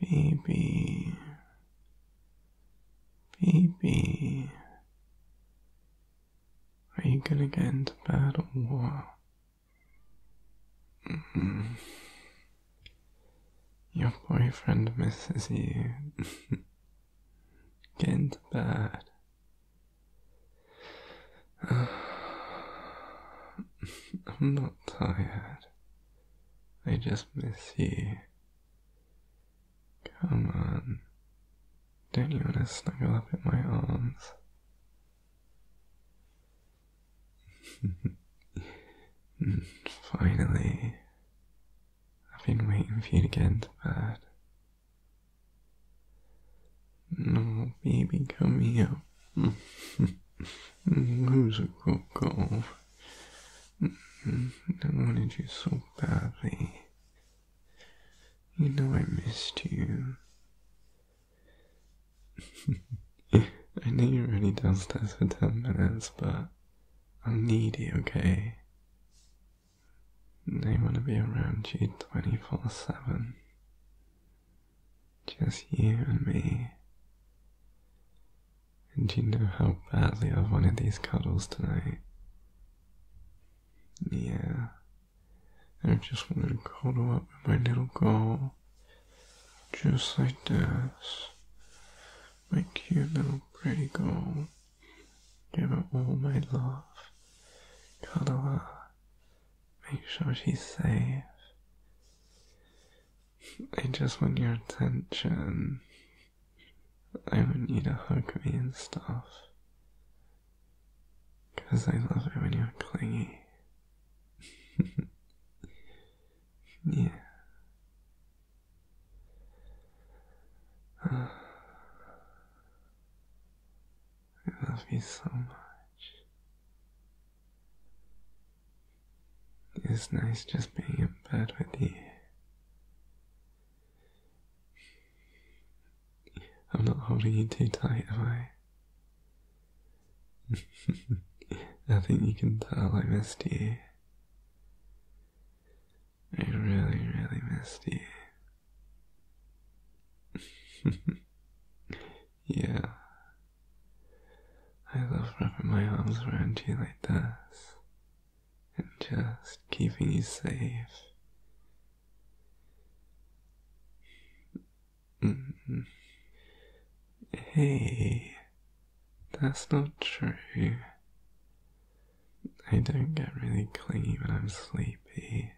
Baby, baby, are you gonna get into bed or what? Mm-hmm. Your boyfriend misses you. get into bed. I'm not tired. I just miss you. Come on. Don't you want to snuggle up in my arms? Finally. I've been waiting for you to get into bed. No, baby, come here. Who's a coco? I wanted you so badly. You know I missed you. I know you're already downstairs for ten minutes, but I'll need you, okay? They want to be around you 24 7. Just you and me. And you know how badly I've wanted these cuddles tonight. Yeah. I just wanted to cuddle up with my little girl. Just like this. My cute little pretty girl. Give her all my love. Cuddle her. Make sure she's safe. I just want your attention. I want you to hug me and stuff. Because I love it when you're clingy. yeah. I love you so much. It's nice just being in bed with you. I'm not holding you too tight, am I? I think you can tell I missed you. I really, really missed you. yeah. I love wrapping my arms around you like this and just keeping you safe. Mm-hmm. Hey, that's not true. I don't get really clingy when I'm sleepy.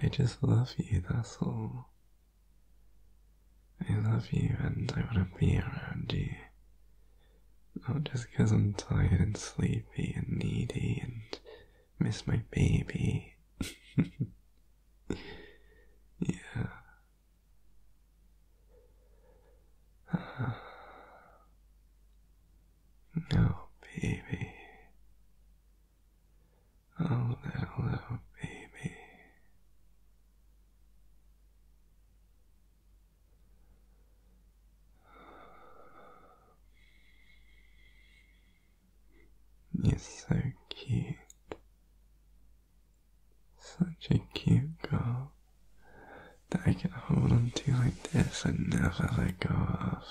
I just love you, that's all. I love you and I want to be around you. Not just I'm tired and sleepy and needy and miss my baby. yeah. No, baby. Oh, that little baby. You're so cute. Such a cute girl that I can hold onto like this and never let go of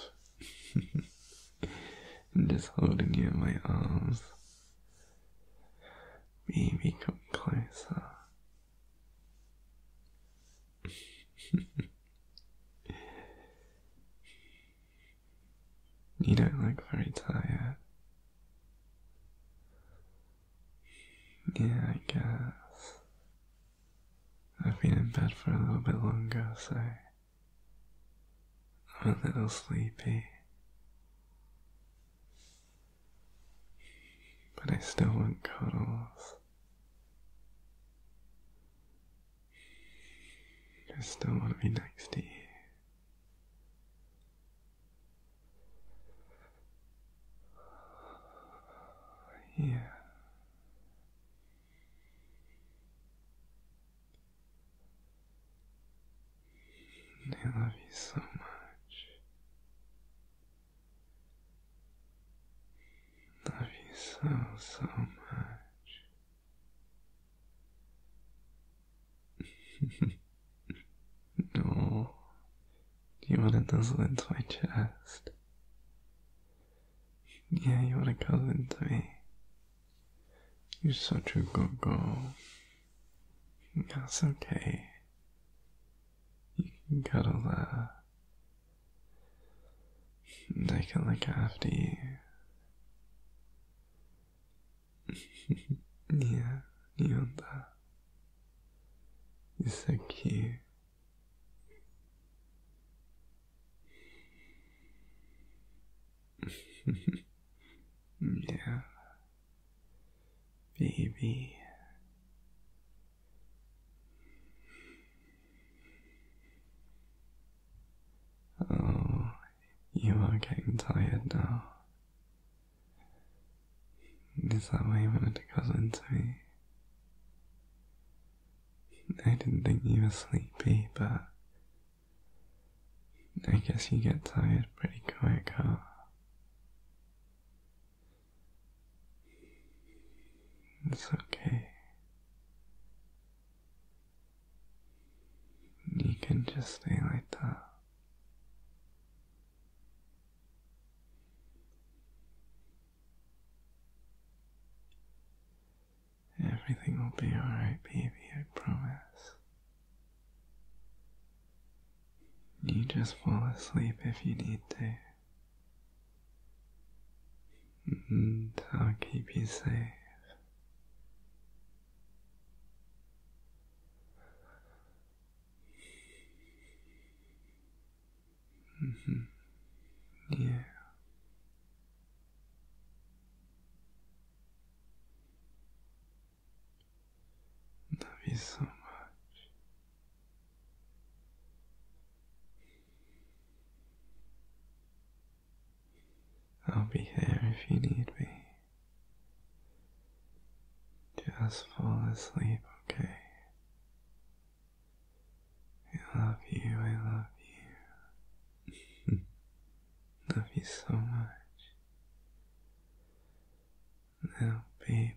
just holding you in my arms. Baby, come closer. you don't look very tired. Yeah, I guess. I've been in bed for a little bit longer, so I'm a little sleepy. But I still want cuddles. I still want to be next to you. Yeah. They love you so much. Love you so, so much. no. Do you want to nuzzle into my chest? Yeah, you want to cousin to me. You're such a good girl. That's okay. You can cuddle there. I can look after you. yeah, you want that? You're so cute. yeah. Baby. Oh, you are getting tired now. Is that why you wanted to cuddle into me? I didn't think you were sleepy, but I guess you get tired pretty quick, huh? It's okay. You can just stay like that. Everything will be alright, baby, I promise. You just fall asleep if you need to. I'll keep you safe. Mm-hmm. Yeah. Love you so much. I'll be here if you need me. Just fall asleep, okay? I love you, I love you. love you so much. Now, baby.